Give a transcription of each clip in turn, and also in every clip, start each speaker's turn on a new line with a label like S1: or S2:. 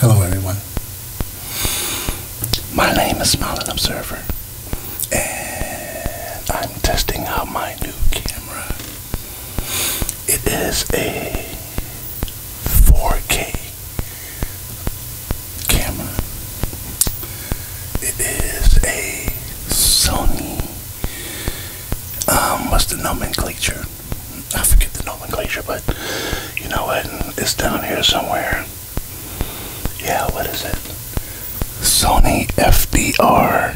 S1: Hello, everyone. My name is Smiling Observer, and I'm testing out my new camera. It is a 4K camera. It is a Sony. Um, what's the nomenclature? I forget the nomenclature, but you know what? It's down here somewhere. Yeah, what is it? Sony FDR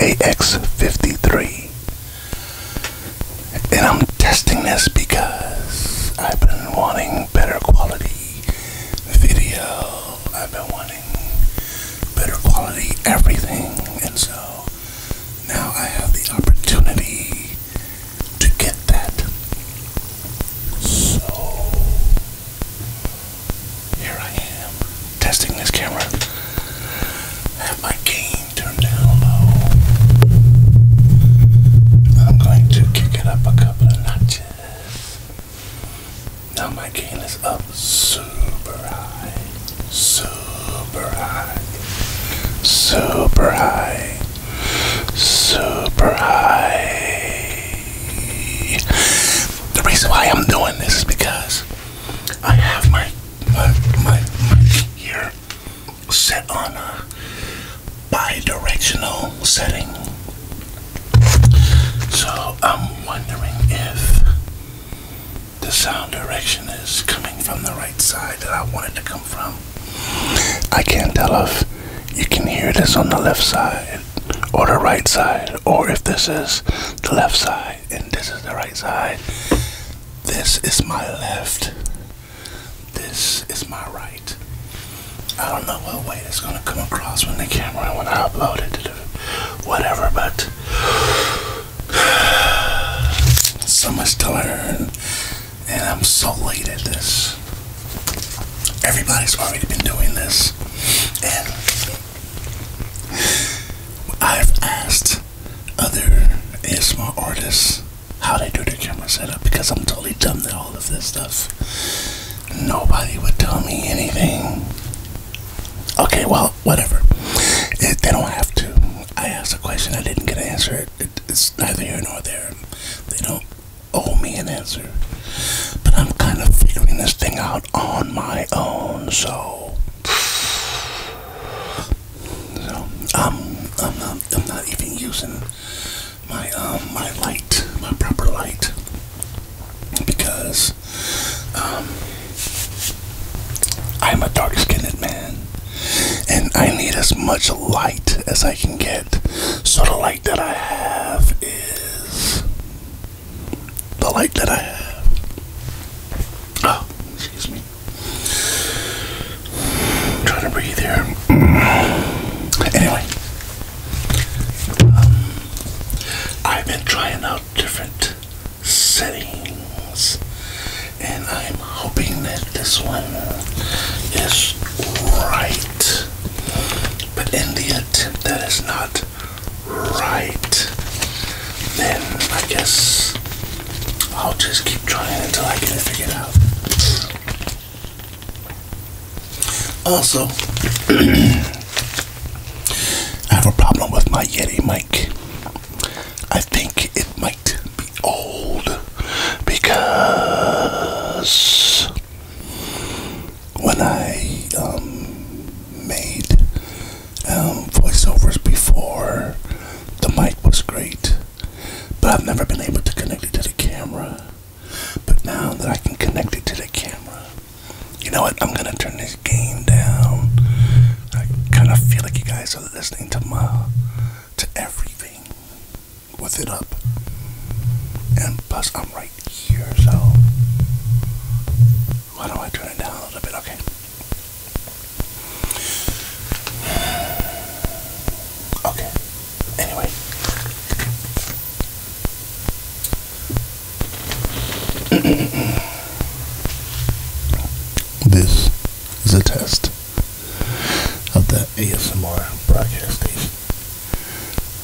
S1: AX53. And I'm testing this because I've been wanting better quality video. I've been wanting better quality everything. And so now I have the opportunity to get that. So here I am testing this camera. have my gain turned down low. I'm going to kick it up a couple of notches. Now my gain is up super high, super high, super high, super high. The reason why I'm doing this is because I have my my my, my here set on a bidirectional setting. So I'm wondering if the sound direction is coming from the right side that I want it to come from. I can't tell if you can hear this on the left side or the right side, or if this is the left side and this is the right side. This is my left. This is my right. I don't know what way it's gonna come across when the camera when I upload it whatever, but so much to learn, and I'm so late at this. Everybody's already been doing this, and I've asked other ASMR artists how they do their camera setup because I'm totally dumb at all of this stuff. Nobody would tell me anything. Okay, well, whatever. they don't have to. I asked a question. I didn't get an answer. it's neither here nor there. They don't owe me an answer. But I'm kind of figuring this thing out on my own, so. So, um, I'm not, I'm not even using my, um, my light, my proper light. Because um, I'm a dark skinned man, and I need as much light as I can get. So, the light that I have is the light that I have. Oh, excuse me. trying to breathe here. Anyway, um, I've been trying out different settings and I'm hoping that this one is right but in the attempt that is not right then I guess I'll just keep trying until I get it out also I have a problem with my Yeti mic I think it might be old because when I um, made um, voiceovers before, the mic was great, but I've never been able to connect it to the camera. But now that I can connect it to the camera, you know what? I'm gonna turn this guys down. I kind of feel like you guys are listening to my to everything with it up. And plus I'm right here, so why don't I turn it down a little bit? Okay. Okay. Anyway. This is a test of the ASMR broadcast station.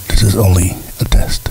S1: This is only a test.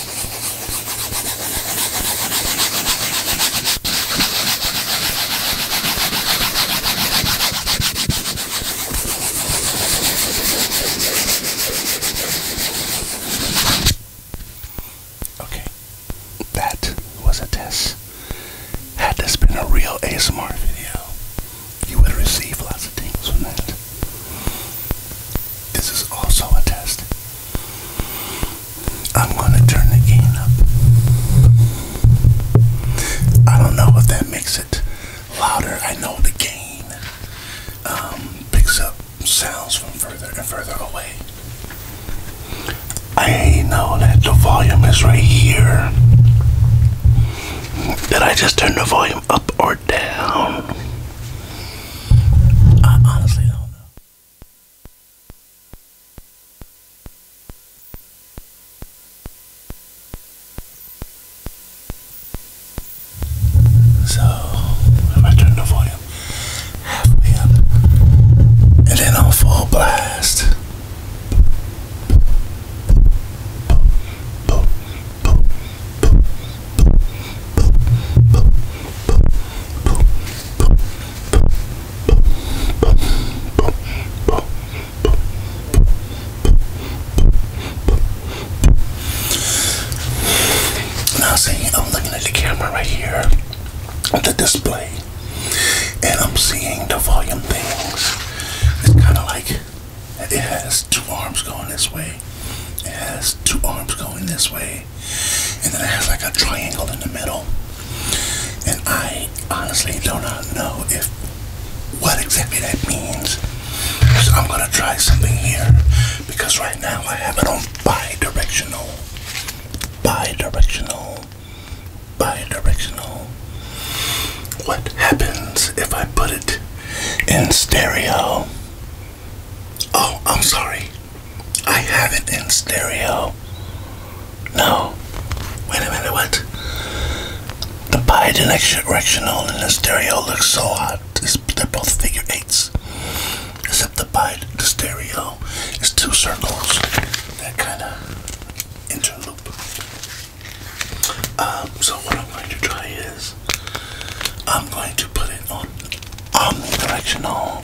S1: Okay, that was a test. Had this been a real ASMR video, you would have received lots of things from that. This is also a test. I'm going to turn the gain up. I don't know if that makes it louder. I know the gain um, picks up sounds from further and further away. I know that the volume is right here. Did I just turn the volume up or down? I honestly don't know. So i turn the volume halfway up, and then on full blast. Now, see, I'm looking at the camera right here, the display, and I'm seeing the volume things. It's kind of like it has two arms going this way. It has two arms going this way. And then it has like a triangle in the middle. And I honestly do not know if what exactly that means. So I'm gonna try something here because right now I have it on bi-directional. Bi-directional. Bi-directional. What happens if I put it in stereo? Oh, I'm sorry. I have it in stereo. No. Wait a minute, what? The bidirectional and the stereo looks so hot. they're both figure eights. Except the bid, the stereo is two circles that kind of interloop. Um, so what I'm going to try is I'm going to put it on omnidirectional.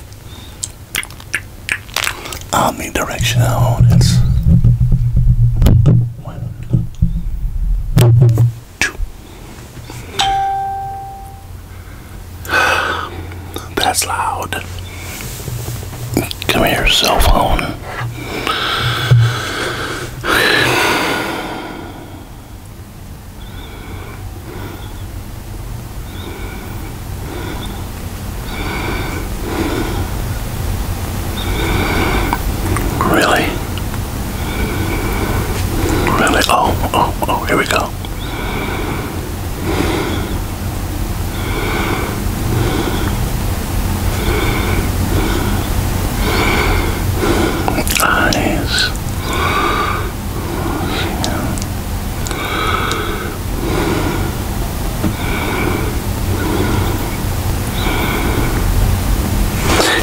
S1: Omnidirectional. That's one, two. That's loud. Come here, cell phone. Really? Really? Oh, oh, oh, here we go. Eyes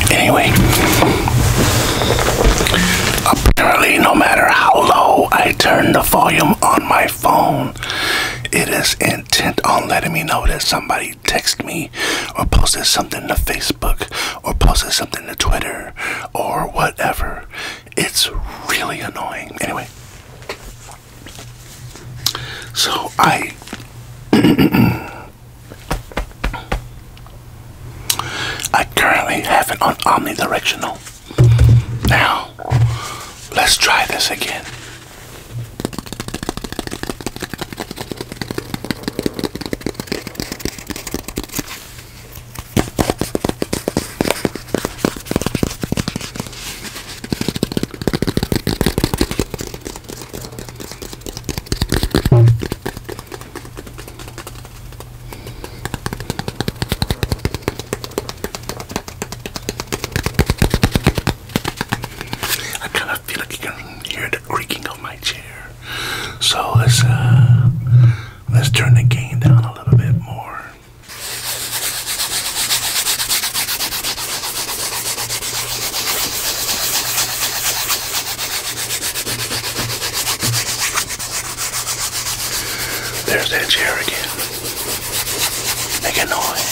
S1: Anyway, apparently, no matter how low I turn the volume on my phone, it is intent on letting me know that somebody texted me or posted something to Facebook or posted something something to Twitter or whatever. It's really annoying. Anyway, so I. I currently have it on omnidirectional. Now, let's try this again. I kind of feel like you can hear the creaking of my chair. So let's uh, let's turn the gain down a little bit more. There's that chair again. Make a noise.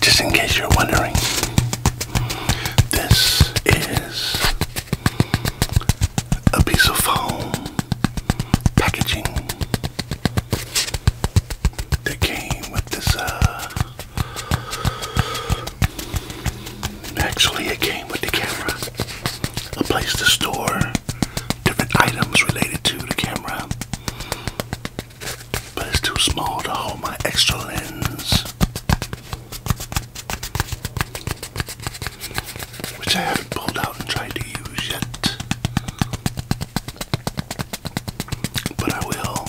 S1: Just in case you're wondering, this is a piece of foam packaging that came with this. Uh, actually, it came with the camera, a place to store different items related to the camera. But it's too small to hold my extra lens which I haven't pulled out and tried to use yet. But I will.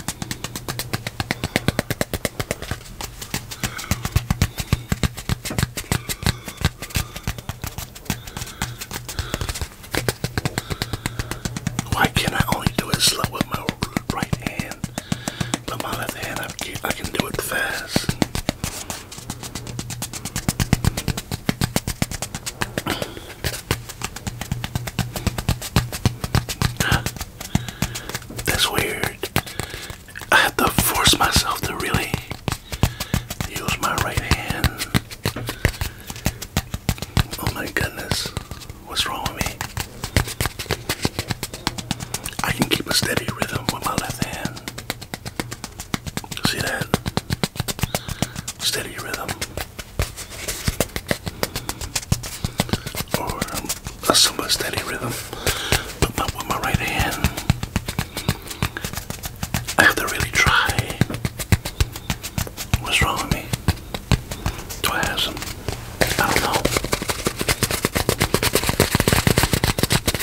S1: Why can I only do it slow with my right hand? But my left hand, I can do it fast. That's weird. I have to force myself to really use my right hand. Oh my goodness. What's wrong with me? I can keep a steady rhythm with my left hand. See that? Steady rhythm. Or um, a somewhat steady rhythm. But my right hand. I have to really try. What's wrong with me? Do I don't know.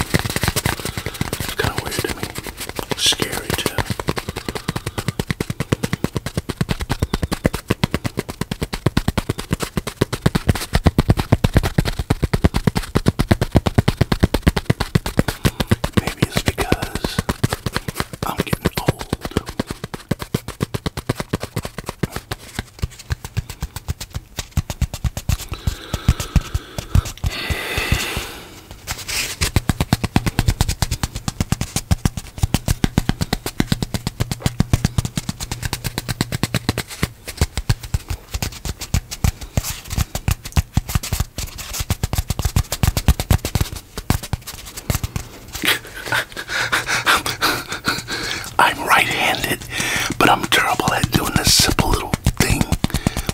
S1: It's kind of weird to me. Scary too. Maybe it's because I'm getting old. I'm right handed, but I'm terrible at doing this simple little thing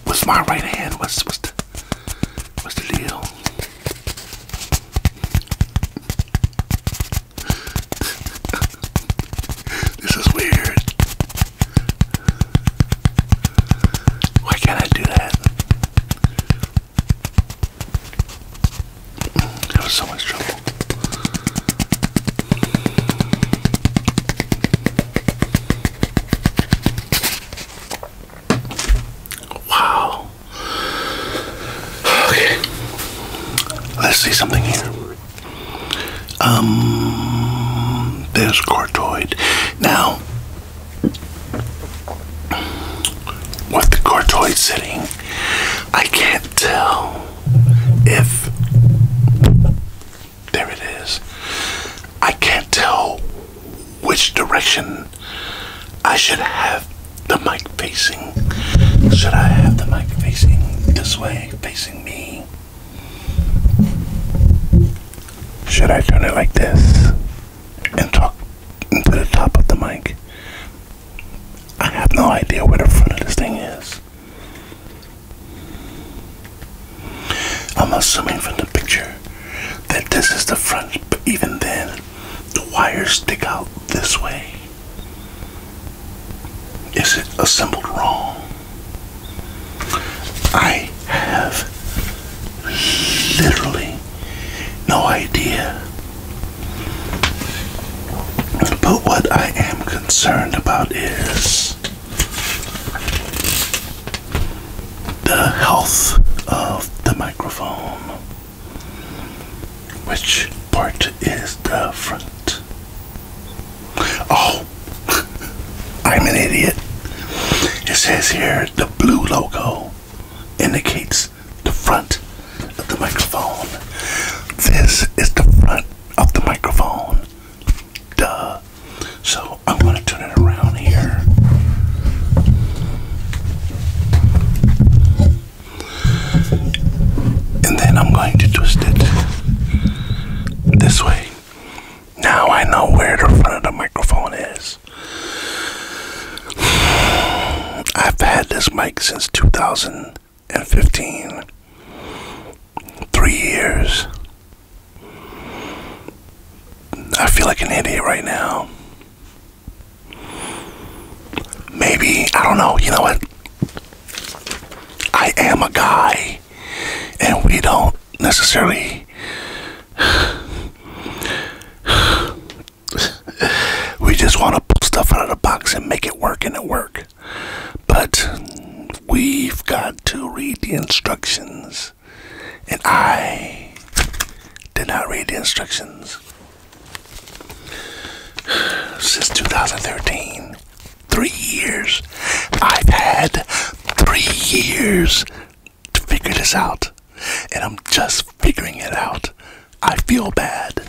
S1: was my right hand. What's what's the what's the deal? this is weird. Why can't I do that? That was so much trouble. Wow. Okay. Let's see something here. Um, there's cartoid. Now, what the cortoid sitting, I can't tell if there it is. I can't tell which direction I should have the mic facing. Should I have the mic facing this way, facing me? Should I turn it like this and talk into the top of the mic? I have no idea where the front of this thing is. I'm assuming from the picture that this is the front, but even then, the wires stick out this way. Is it assembled wrong? I have literally no idea. But what I am concerned about is the health of the microphone. Which part is the front? Oh, I'm an idiot. It says here the blue logo indicates the front of the microphone. This is the front of the microphone. Duh. So I'm going to turn it around here. And then I'm going to twist it this way. Now I know where the front of the microphone is. I've had this mic since 2015 three years. I feel like an idiot right now. Maybe, I don't know, you know what? I am a guy, and we don't necessarily. we just want to pull stuff out of the box and make it work, and it work. But we've got to read the instructions and I did not read the instructions. Since 2013, three years, I've had three years to figure this out, and I'm just figuring it out. I feel bad.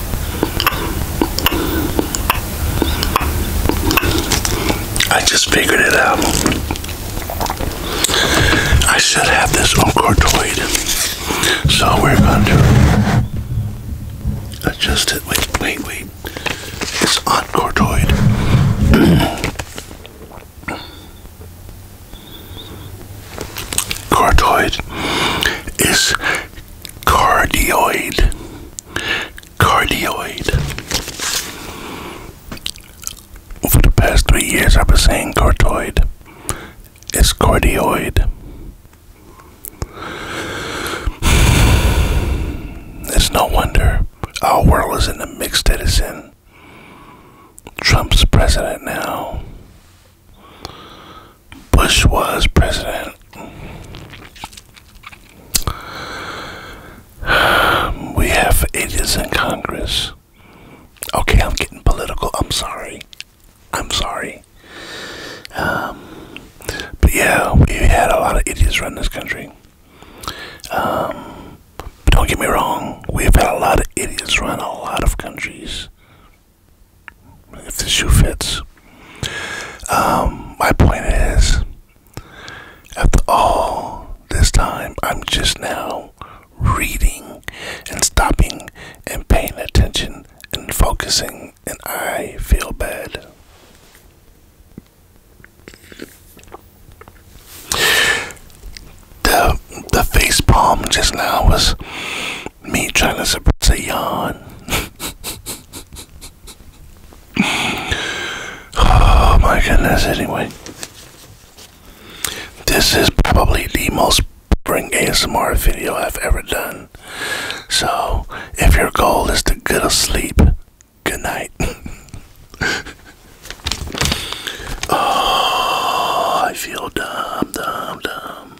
S1: I just figured it out. I should have this on cortoid. So we're going to adjust it. Wait, wait, wait. It's on cortoid. cortoid is cardioid, cardioid. Over the past three years, I've been saying cartoid. It's cardioid. It's no wonder our world is in a mix that it's in. Trump's president now. Bush was president. We have idiots in Congress. Okay, I'm getting political. I'm sorry. I'm sorry. Um, but yeah, we had a lot of idiots run this country. but um, don't get me wrong, we've had a lot of idiots run a lot of countries if the shoe fits. Um, my point is, after all this time, I'm just now reading and stopping and paying attention and focusing, and I feel bad. The the face palm just now was me trying to suppress a yawn. oh my goodness, anyway. This is probably the most boring ASMR video I've ever done. So, if your goal is to get to sleep, good night. oh, I feel dumb, dumb, dumb.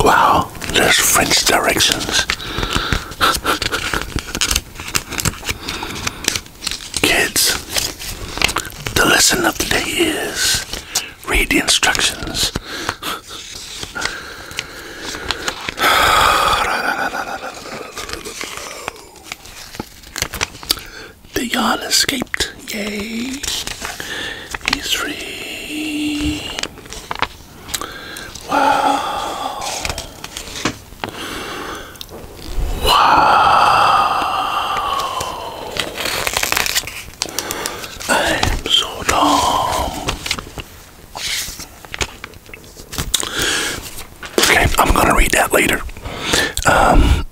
S1: Wow, there's French directions. Kids, the lesson of the day read the instructions. The Jarl escaped. Yay! He's free. Wow. Wow. I'm so dumb. Okay, I'm gonna read that later. Um,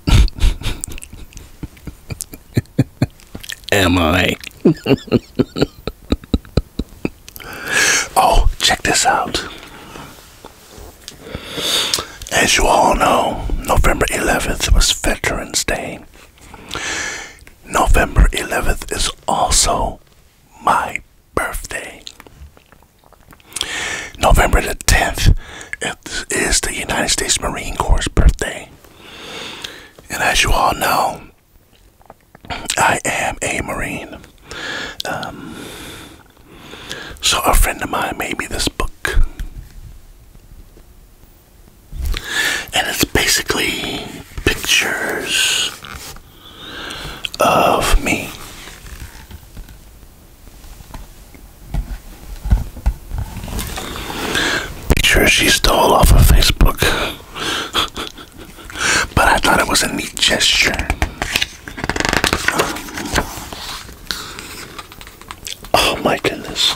S1: Am I? oh, check this out. As you all know, November 11th was Veterans Day. November 11th is also my birthday. November the 10th is the United States Marine Corps' birthday. And as you all know, I am a Marine. Um, so a friend of mine made me this book. And it's basically pictures of me. Picture she stole off of Facebook. but I thought it was a neat gesture. oh my goodness.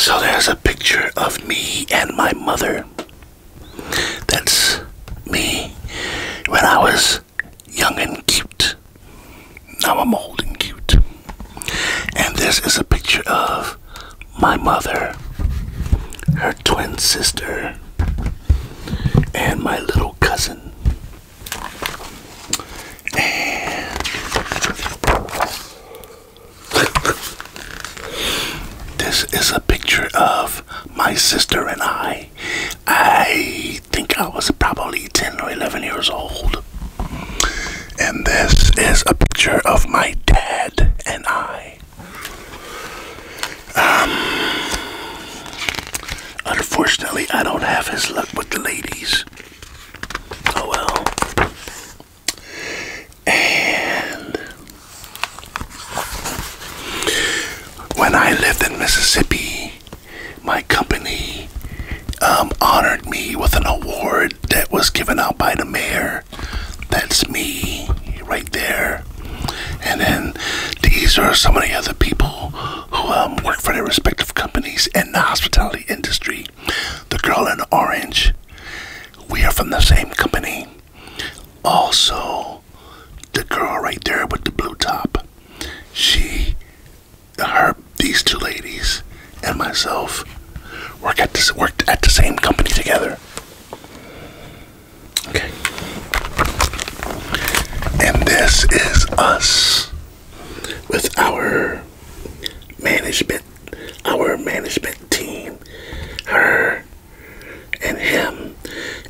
S1: So there's a picture of me and my mother. That's me when I was young and cute. Now I'm old and cute. And this is a picture of my mother, her twin sister, and my little cousin. And this is a picture of my sister and I. I think I was probably 10 or 11 years old. And this is a picture of my dad and I. Um, unfortunately, I don't have his luck with the ladies. Oh well. And when I lived in Mississippi, my company um, honored me with an award that was given out by the mayor. That's me right there. And then these are so many other people who um, work for their respective companies in the hospitality industry. The girl in orange, we are from the same company. Also, the girl right there with the blue top, she, her, these two ladies, and myself work at worked at the same company together. Okay. And this is us with our management, our management team, her, and him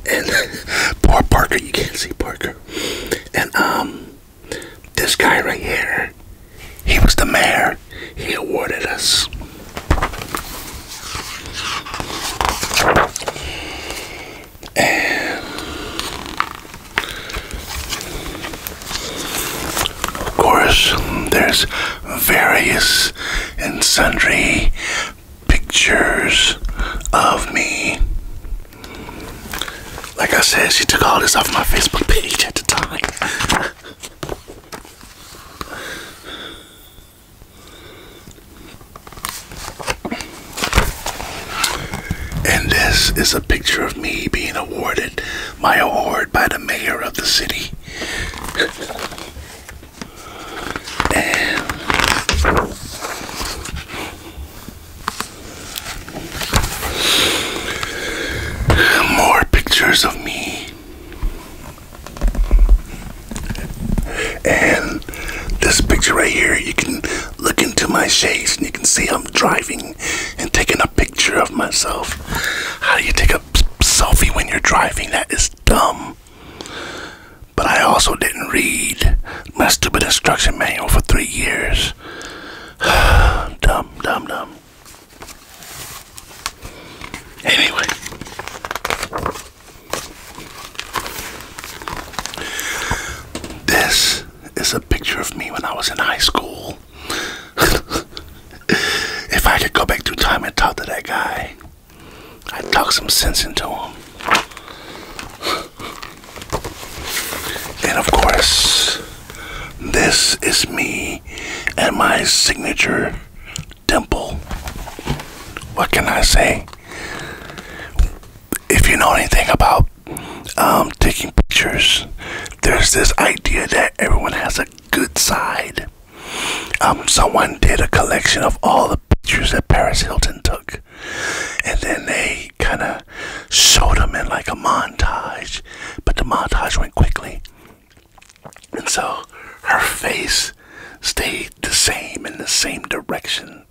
S1: and poor Parker. You can't see Parker. And um, this guy right here, he was the mayor. He awarded us. And of course, there's various and sundry pictures of me. Like I said, she took all this off my Facebook page at the time. And this is a picture of me being awarded my award by the mayor of the city. More pictures of me. And this picture right here, you can look into my shades and you can see I'm driving and taking a picture of myself. How do you take a selfie when you're driving? That is dumb. But I also didn't read my stupid instruction manual for three years. dumb, dumb, dumb. Anyway. This is a picture of me when I was in high school. if I could go back through time and talk to that guy, I talked some sense into him. And of course, this is me and my signature dimple. What can I say? If you know anything about um, taking pictures, there's this idea that everyone has a good side. Um, someone did a collection of all the pictures that Paris Hilton took. And then they kind of showed them in like a montage, but the montage went quickly. And so her face stayed the same in the same direction.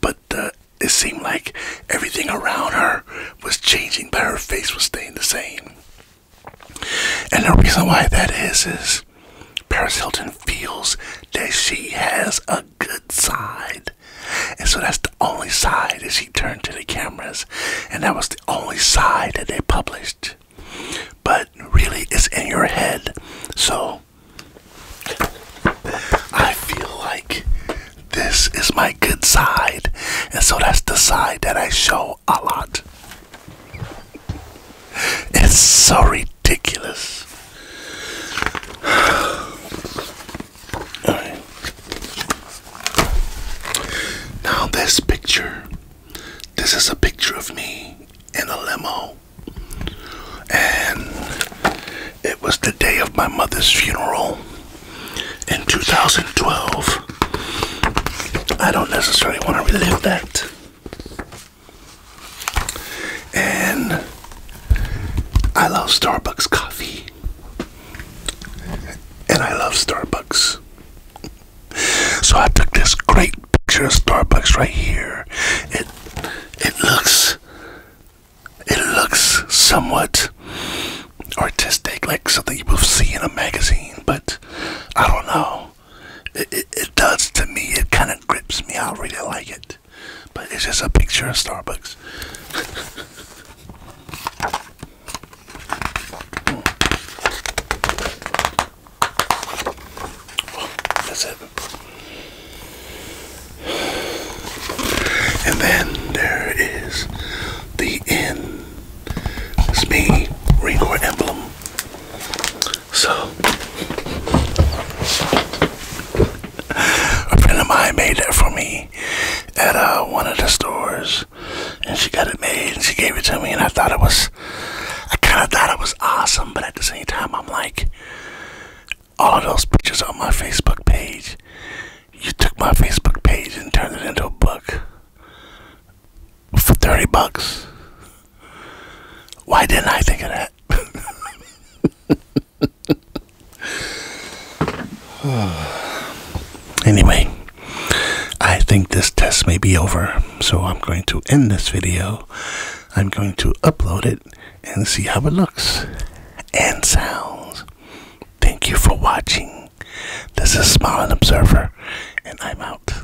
S1: but it seemed like everything around her was changing, but her face was staying the same. And the reason why that is is Paris. Hilton feels that she has a good side. And so that's the only side that she turned to the cameras. And that was the only side that they published. But really, it's in your head. So I feel like this is my good side. And so that's the side that I show a lot. It's so ridiculous. Now, this picture this is a picture of me in a limo. And it was the day of my mother's funeral in 2012. I don't necessarily want to relive that. And I love Starbucks coffee. And I love Starbucks. So I took this great picture of Starbucks right here. It it looks it looks somewhat artistic, like something you would see in a magazine, but I don't know. It, it, it does to me. It kind of grips me. I really like it but it's just a picture of Starbucks. Hmm. that's it. And then there is the inn. It's me, Ringor emblem. So, a friend of mine made that for me at uh, one of the stores, and she got it made and she gave it to me, and I thought it was, I kind of thought it was awesome, but at the same time, I'm like, all of those pictures on my Facebook page, you took my Facebook page and turned it into a book for 30 bucks. Why didn't I think of that? anyway, I think this test may be over, so I'm going to end this video. I'm going to upload it and see how it looks and sounds. Thank you for watching. This is Smiling Observer, and I'm out.